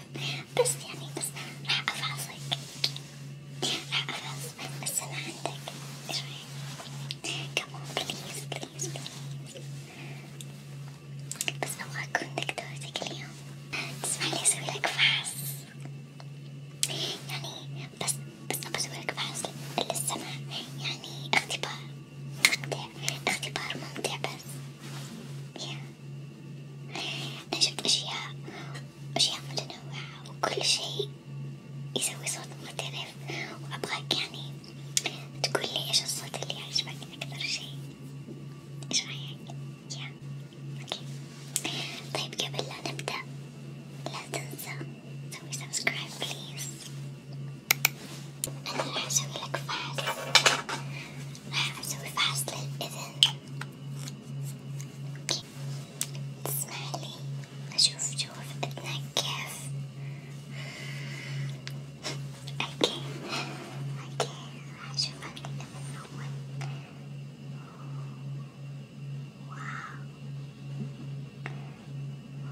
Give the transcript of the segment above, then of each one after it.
بس راح افاصلك راح افاصلك بس انا عندك ايش رايك؟ كمان بليز بليز بليز بس ابغى اكون دكتورتك اليوم تسمع لي اسوي لك فحص يعني بس بس ابغى اسوي لك فحص للسمع يعني اختبار ممتع اختبار ممتع بس yeah. أنا جبت أشياء أشياء متنوعة وكل شيء يسوي صوت مختلف وأبغاك يعني تقولي إيش الصوت اللي يعجبك أكثر شيء إيش رأيك؟ يا أوكي طيب قبل لا نبدأ لا تنسى سوي سبسكرايب بليز أنا راح أسوي لك فحص راح أسوي فحص للإذن اوكي تسمح لي اشوف شوف اذنك كيف اوكي اوكي راح اشوفها كذا من اول واو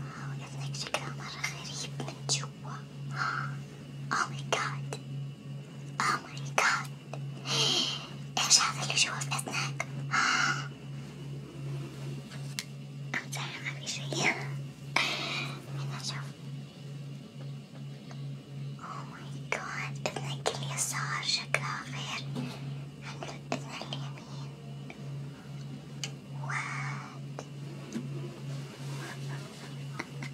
واو اذنك شكلها مرة غريب من جوا اوه ماي جاد Oh my god ايش هذا اللي جوا في اذنك؟ أمزح ما في شي أنا أشوف Oh my god اذنك اليسار شكلها غير عن الاذن اليمين What?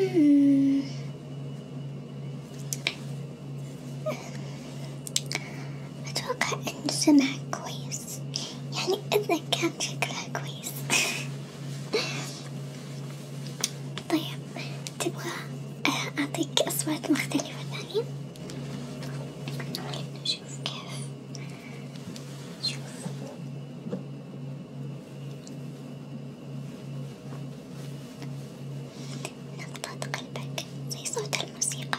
Hmm. أتوقع إن سمع كويس يعني إذا كان شكلها كويس طيب تبغى آه، أعطيك أصوات مختلفة ثانية؟ شوف كيف شوف نبضات قلبك زي صوت الموسيقى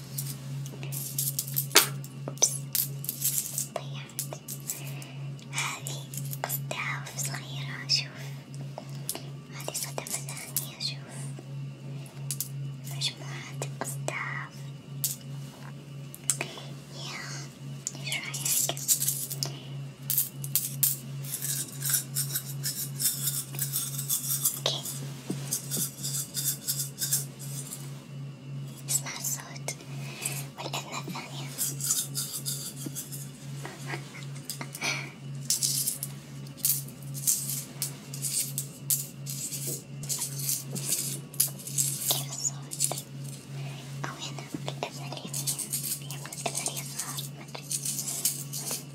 أوبس ضيعت هذه قصدها في صغيرة شوف هذه صدفة ثانية شوف مجموعة أصداف يا ايش رايك؟ اوكي it smells so good. Well, it's Nathaniel. Get a sword. Oh, yeah, no, not leaving you. Yeah, it's not leaving you.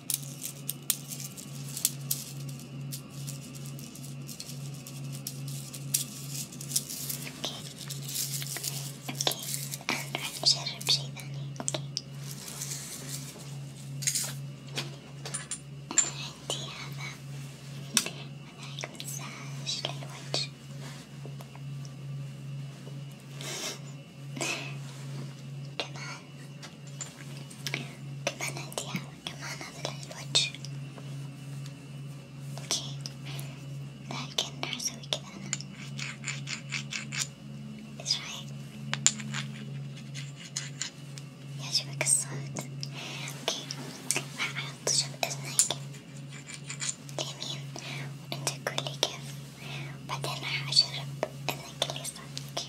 هذا مساج للوجه كمان كمان عندي كمان هذا الوجه اوكي لكن راح اسوي كذا انا ايش رايك؟ يعجبك الصوت؟ اوكي راح احط شب اذنك اليمين وانت قولي كيف بعدين راح اجرب اذنك اليسار like. Okay,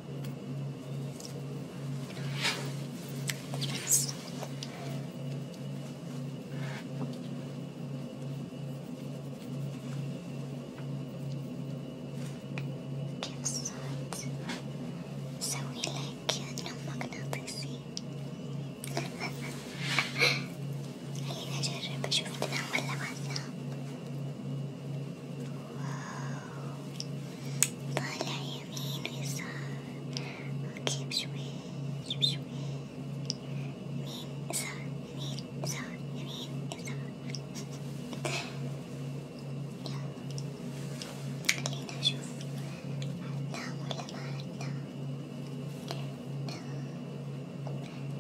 So we like no magnetic sea. خليني أجرب أشوف إذا ولا واتساب طالع يمين ويسار أوكي بشوي بشوي يمين يسار يمين يسار يمين يسار يلا خلينا نشوف عدناه ولا ما عدناه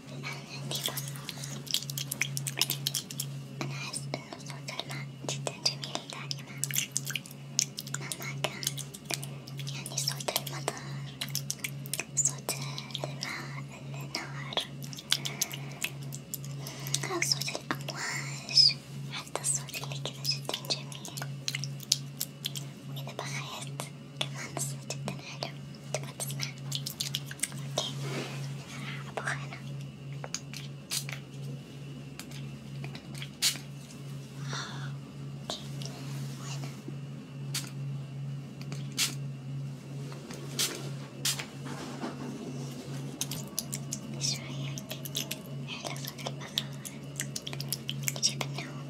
عندي أنا أحس إنه صوت الماء جدا جميل دائما مهما كان يعني صوت المطر صوت الماء النهر أو صوت الأمواج حتى الصوت اللي كذا جدا جميل وإذا بغيت كمان حلو تبغى تسمع اوكي أبغى أنا اوكي وهنا ايش رايك؟ حلو صوت البغاء يجيب النوم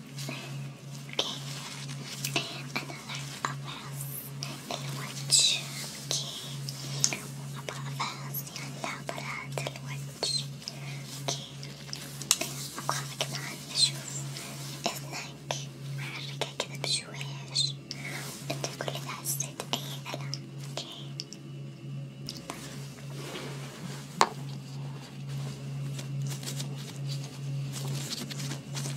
Okay. Another avas. الوجه. Okay. أبغى avas هلا برات الوجه. Okay. أبغى كمان أشوف إذنك محركة كذا بشويش. أنت كل إذا حسيت أي ألم. Okay. طيب.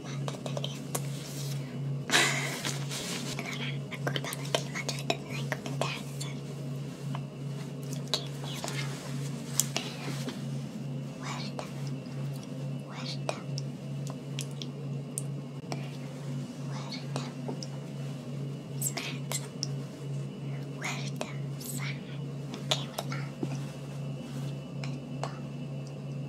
وردة وردة وردة سمعت وردة صح اوكي والآن قطة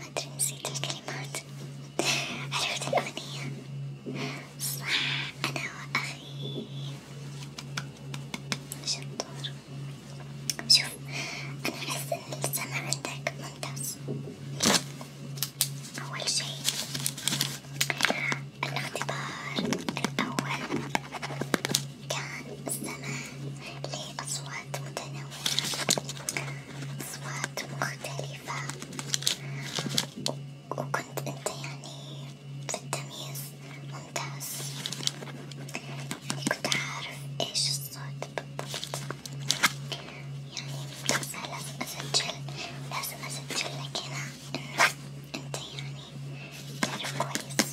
هترمسي تلك الكلمات عرفت الأغنية صح أنا وأخي شطور شوف أنا أحس إن السمع عندك ممتاز أول شي الاختبار الأول كان السماء لأصوات متنوعة أصوات مختلفة وكنت أنت يعني في التمييز ممتاز يعني كنت عارف إيش الصوت بالضبط يعني ممتازة لازم أسجل لازم أسجل لك هنا إنه أنت يعني تعرف كويس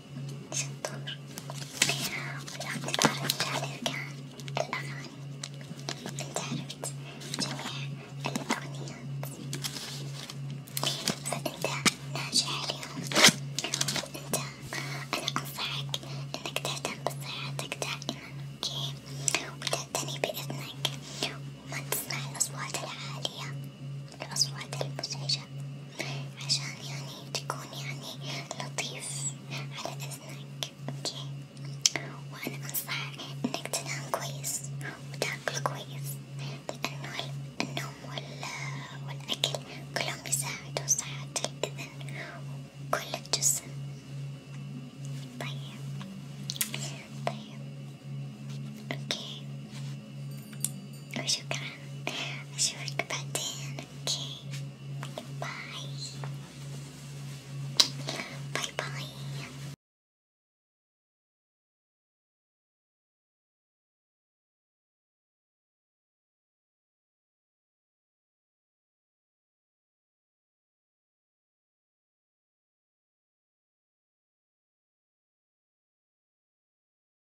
شطور ولو تبارك بهذا كان الأغاني انت عرفت جميع الأغنيات فأنت ناجح اليوم وأنت أنا أنصحك إنك تهتم بصحتك دائما أوكي وتعتني بإذنك وما تسمع الأصوات العالية الأصوات المزعجة عشان يعني تكون يعني لطيف على أذنك أوكي وأنا أنصح إنك تنام كويس وتاكل كويس لأنه النوم والأكل كلهم يساعدوا صحة الأذن وكل الجسم طيب طيب اوكي Or you can. I should work button. Okay. Bye. Bye bye.